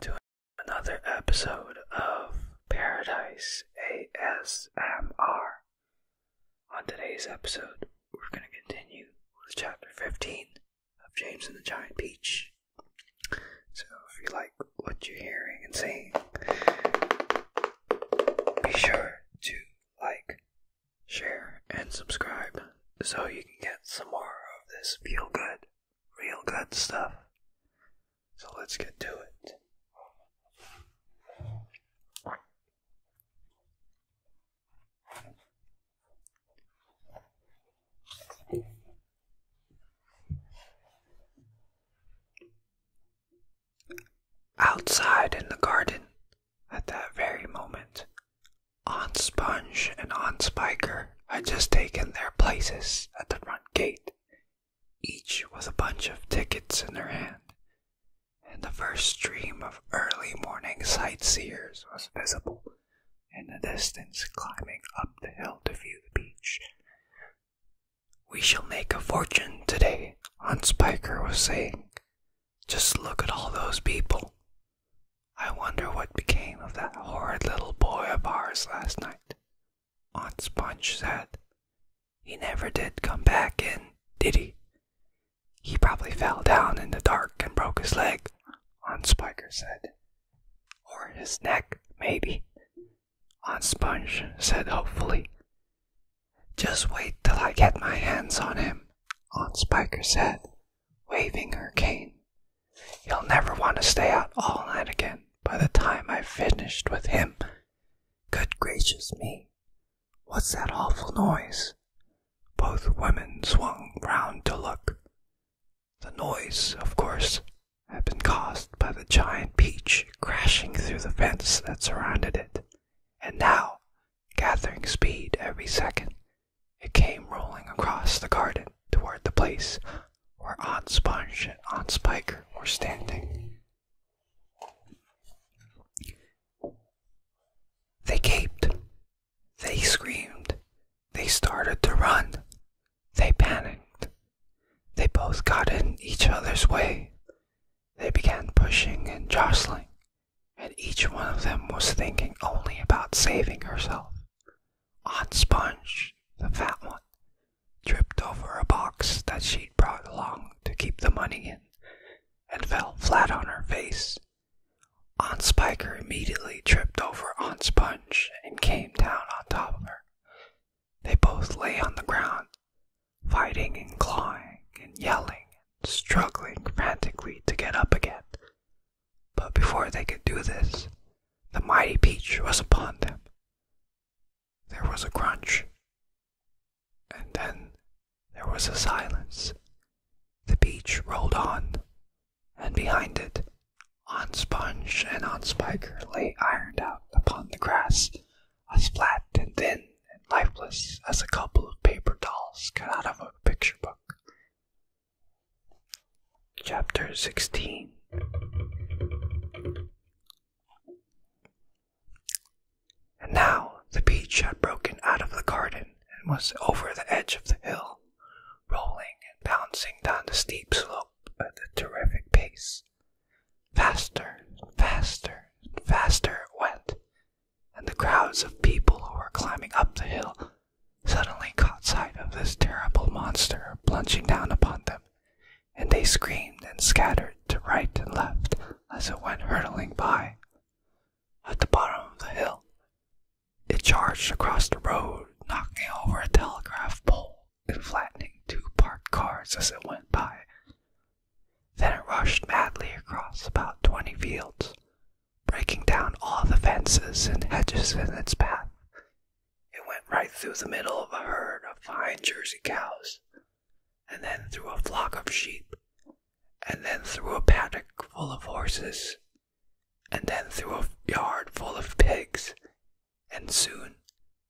To another episode of Paradise ASMR. On today's episode, we're going to continue with chapter 15 of James and the Giant Peach. So, if you like what you're hearing and seeing, be sure to like, share, and subscribe so you can get some more of this feel good, real good stuff. So let's get to it. Outside in the garden, at that very moment, Aunt Sponge and Aunt Spiker had just taken their places at the front gate, each with a bunch of tickets in their hand, and the first stream of early morning sightseers was visible in the distance climbing up the hill to view the beach. We shall make a fortune today, Aunt Spiker was saying. Just look at all those people. I wonder what became of that horrid little boy of ours last night, Aunt Sponge said. He never did come back in, did he? He probably fell down in the dark and broke his leg, Aunt Spiker said. Or his neck, maybe, Aunt Sponge said hopefully. Just wait till I get my hands on him, Aunt Spiker said, waving her cane. he will never want to stay out all night again by the time I've finished with him. Good gracious me, what's that awful noise? Both women swung round to look. The noise, of course, had been caused by the giant peach crashing through the fence that surrounded it and now, gathering speed every second, it came rolling across the garden toward the place where Aunt Sponge and Aunt Spiker were standing. They gaped, they screamed, they started to run, they panicked, they both got in each other's way, they began pushing and jostling, and each one of them was thinking only about saving herself. Aunt Sponge, the fat one, tripped over a box that she'd brought along to keep the money in and fell flat on her face. Aunt Spiker immediately tripped over Aunt Sponge and came down on top of her. They both lay on the ground, fighting and clawing and yelling and struggling frantically to get up again. But before they could do this, the mighty peach was upon them. There was a crunch, and then there was a silence. The peach rolled on, and behind it, on sponge and on spiker lay ironed out upon the grass as flat and thin and lifeless as a couple of paper dolls cut out of a picture book. Chapter 16 And now the beach had broken out of the garden and was over the edge of the hill, rolling and bouncing down the steep slope at a terrific pace. Faster, faster, faster it went, and the crowds of people who were climbing up the hill suddenly caught sight of this terrible monster plunging down upon them, and they screamed and scattered to right and left as it went hurtling by. At the bottom of the hill, it charged across the road, knocking over a telegraph pole and flattening two parked cars as it went by. Then it rushed madly across about twenty fields, breaking down all the fences and hedges in its path. It went right through the middle of a herd of fine Jersey cows, and then through a flock of sheep, and then through a paddock full of horses, and then through a yard full of pigs, and soon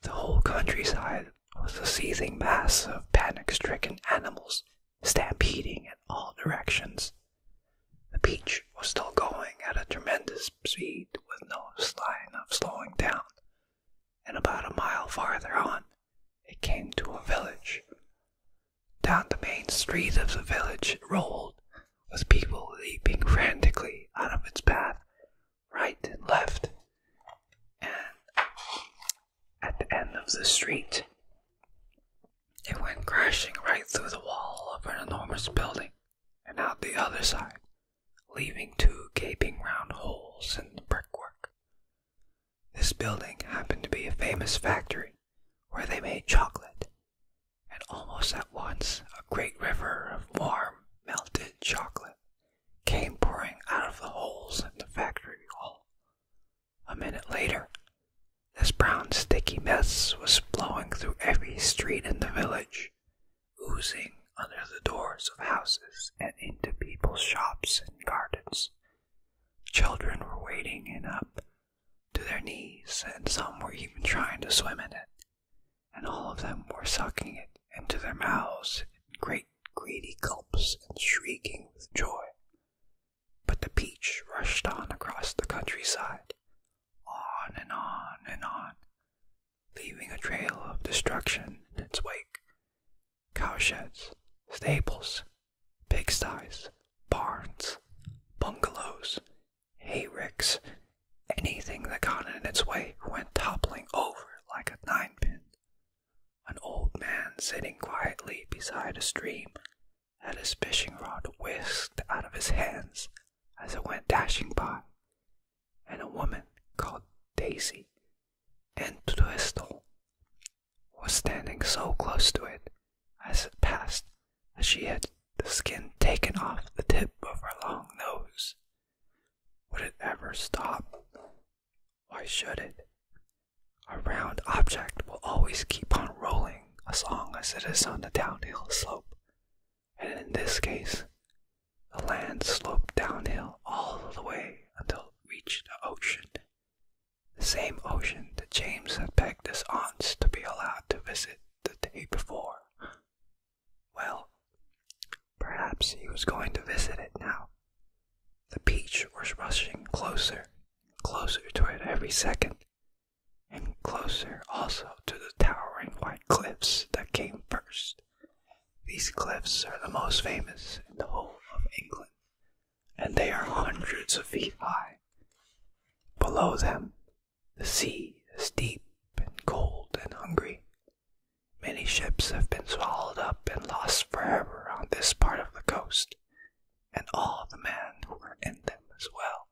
the whole countryside was a seething mass of panic stricken animals stampeding in all directions. The beach was still going at a tremendous speed with no sign of slowing down, and about a mile farther on it came to a village. Down the main street of the village it rolled, with people leaping frantically out of its path right and left. And at the end of the street, it went crashing right through the wall of an enormous building and out the other side, leaving two gaping round holes in the brickwork. This building happened to be a famous factory where they made chocolate, and almost at once a great river of warm, melted chocolate came pouring out of the holes in the factory wall. A minute later, this brown sticky mess was flowing through every street in the village, oozing under the doors of houses and into people's shops and gardens. Children were wading in up to their knees, and some were even trying to swim in it and all of them were sucking it into their mouths in great greedy gulps and shrieking with joy. But the peach rushed on across the countryside, on and on and on, leaving a trail of destruction in its wake. Cowsheds, stables, pigsties, barns, bungalows, Hey Ricks, anything that got in its way went toppling over like a ninepin. An old man sitting quietly beside a stream had his fishing rod whisked out of his hands as it went dashing by, and a woman called Daisy Entwistle was standing so close to it as it passed that she had the skin taken off the tip of her long nose would it ever stop? Why should it? A round object will always keep on rolling as long as it is on the downhill slope. And in this case, the land sloped downhill all the way until it reached the ocean. The same ocean that James had begged his aunts to be allowed to visit the day before. Well, perhaps he was going to visit it now. The peach was rushing closer, closer to it every second, and closer also to the towering white cliffs that came first. These cliffs are the most famous in the whole of England, and they are hundreds of feet high. Below them, the sea is deep and cold and hungry. Many ships have been swallowed up and lost forever on this part of the coast, and all the men who were in them as well.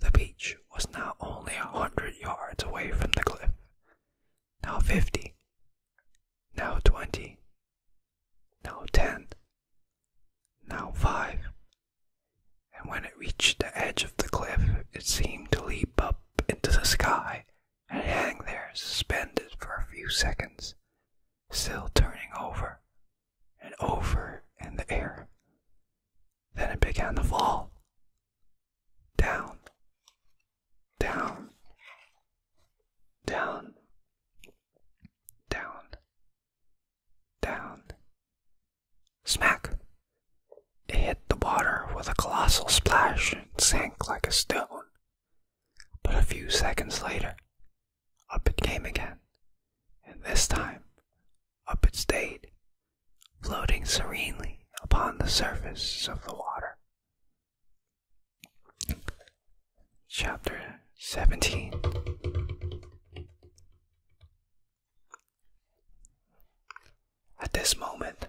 The beach was now only a hundred yards away from the cliff, now fifty, now twenty, now ten, now five, and when it reached the edge of the cliff, it seemed to leap up into the sky and hang there suspended for a few seconds, still turning over and over in the air. Then it began to fall. Down, down, down, down, down, Smack! It hit the water with a colossal splash and sank like a stone. But a few seconds later, up it came again, and this time up it stayed, floating serenely upon the surface of the water. Chapter 17 at this moment,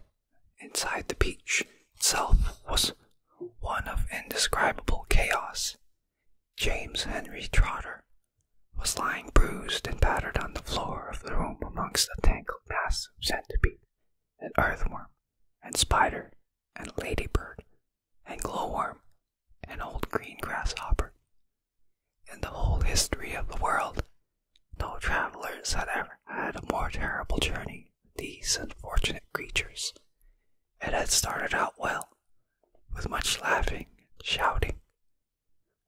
inside the beach itself was one of indescribable chaos. James Henry Trotter was lying bruised and battered on the floor of the room amongst a tangled mass of centipede and earthworm and spider and ladybird and glowworm and old green grasshopper in the whole history of the world, no travelers had ever had a more terrible journey these unfortunate creatures. It had started out well, with much laughing and shouting,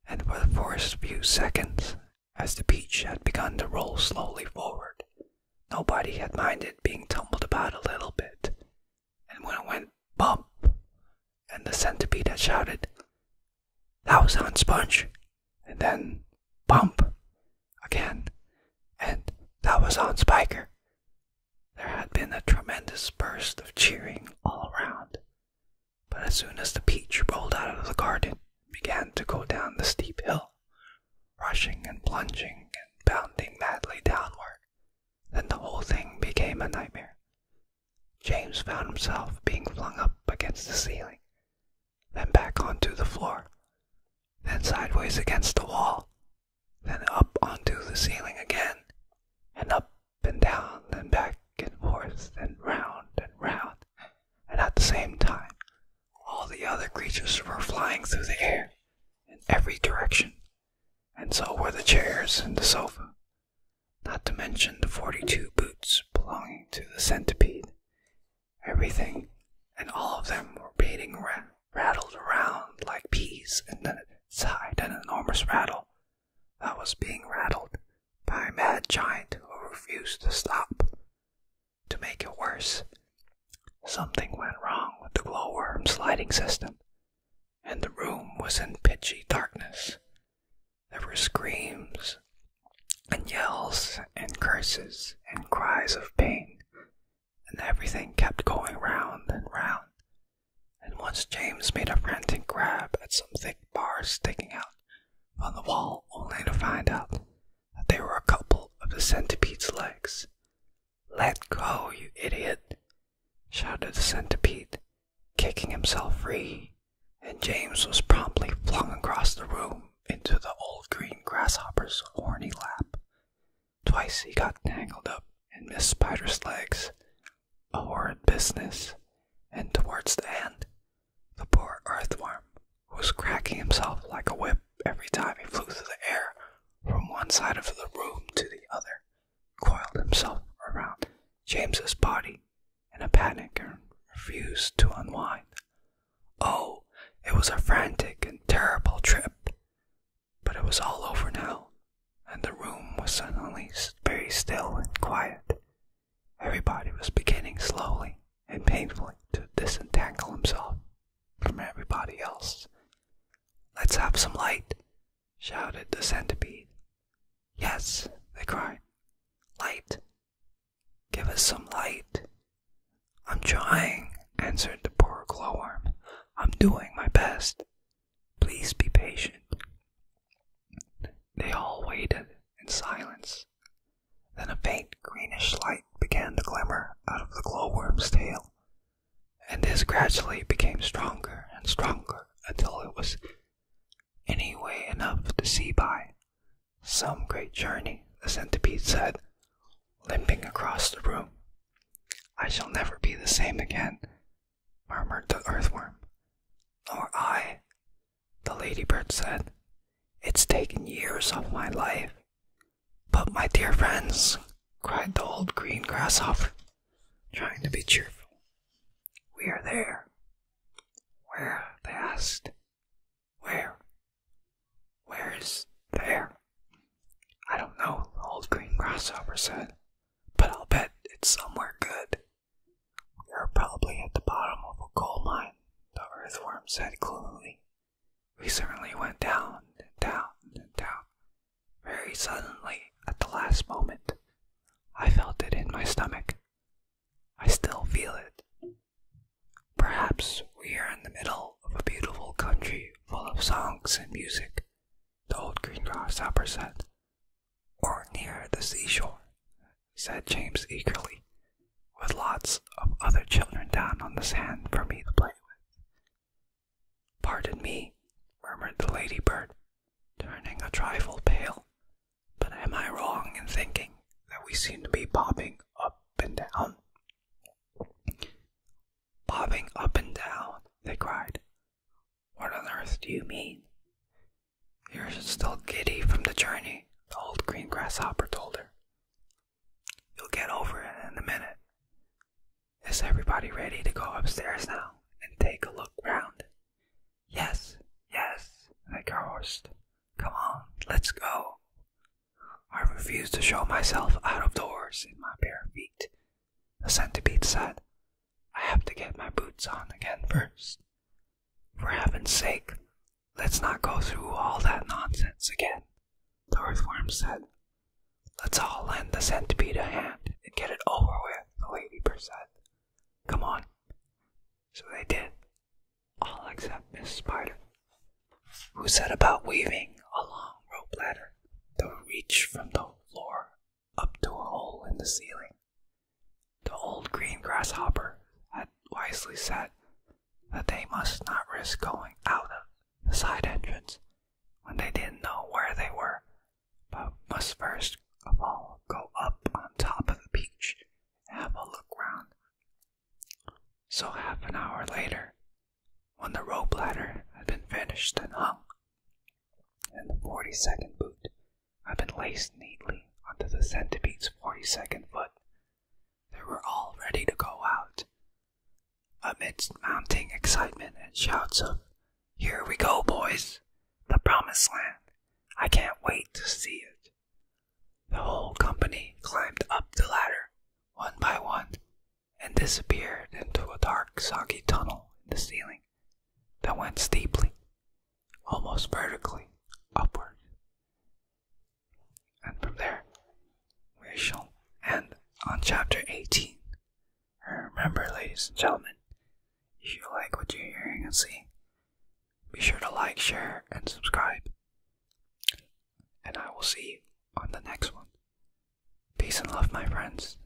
and for the first few seconds, as the beach had begun to roll slowly forward, nobody had minded being tumbled about a little bit, and when it went bump, and the centipede shouted, That was on Sponge! And then bump again, and that was on Spiker. There had been a tremendous burst of cheering all around, but as soon as the peach rolled out of the garden and began to go down the steep hill, rushing and plunging and bounding madly downward, then the whole thing became a nightmare. James found himself being flung up against the ceiling, then back onto the floor, then sideways against the wall, then up onto the ceiling again, and up and down, then back and forth, and round and round, and at the same time, all the other creatures were flying through the air in every direction, and so were the chairs and the sofa, not to mention the 42 boots belonging to the centipede. Everything and all of them were beating, ra rattled around like peas and then it sighed an enormous rattle that was being rattled by a mad giant who refused to stop. To make it worse, something went wrong with the glowworm's lighting system and the room was in pitchy darkness. There were screams and yells and curses and cries of pain, and everything kept going round and round. And once James made a frantic grab at some thick bars sticking out on the wall, only to find out that they were a couple of the centipede's legs. Let go, you idiot! shouted the centipede, kicking himself free, and James was promptly flung across the room into the old green grasshopper's horny lap. Twice he got tangled up in Miss Spider's legs. A horrid business, and towards the end, the poor earthworm, was cracking himself like a whip every time he flew through the air from one side of the room to the other, coiled himself around James's body in a panic and refused to unwind. Oh, it was a frantic and terrible trip, but it was all over now, and the room was suddenly very still and quiet. Everybody was beginning slowly and painfully to disentangle himself from everybody else. Let's have some light, shouted the centipede. Yes, they cried. Light! Give us some light! I'm trying, answered the poor glowworm. I'm doing my best. Please be patient. They all waited in silence. Then a faint greenish light began to glimmer out of the glowworm's tail and this gradually became stronger and stronger until it was anyway enough to see by. Some great journey, the centipede said, limping across the room. I shall never be the same again, murmured the earthworm. Nor I, the ladybird said. It's taken years of my life. But, my dear friends, cried the old green grasshopper, trying to be cheerful. We are there. Where? they asked. Where? Where is there? I don't know, old green grasshopper said, but I'll bet it's somewhere good. We are probably at the bottom of a coal mine, the earthworm said gloomily. We certainly went down and down and down, very suddenly, at the last moment, I felt it in my stomach. I still feel it. Perhaps we are in the middle of a beautiful country full of songs and music, the old green grasshopper said. Or near the seashore, said James eagerly, with lots of other children down on the sand for me to play with. Pardon me, murmured the ladybird, turning a trifle pale, but am I wrong in thinking that we seem to be bobbing up and down? Bobbing up and down, they cried. What on earth do you mean? You're still giddy from the journey, the old green grasshopper told her. You'll get over it in a minute. Is everybody ready to go upstairs now and take a look round? Yes, yes, like our Come on, let's go. I refuse to show myself out of doors in my bare feet, the centipede said. I have to get my boots on again first." For heaven's sake, let's not go through all that nonsense again the earthworm said. Let's all lend the centipede a hand and get it over with, the ladybird said. Come on. So they did, all except Miss Spider, who set about weaving a long rope ladder to reach from the floor up to a hole in the ceiling. The old green grasshopper had wisely said that they must not risk going out of the side entrance when they didn't know where they were, but must first of all go up on top of the beach and have a look round. So half an hour later, when the rope ladder had been finished and hung, and the forty second boot had been laced neatly onto the centipede's forty second foot, they were all ready to go out amidst mounting excitement and shouts of, Here we go, boys! The promised land! I can't wait to see it! The whole company climbed up the ladder, one by one, and disappeared into a dark, soggy tunnel in the ceiling that went steeply, almost vertically, upward. And from there, we shall end on chapter 18. Remember, ladies and gentlemen, if you like what you're hearing and seeing, be sure to like, share, and subscribe. And I will see you on the next one. Peace and love, my friends.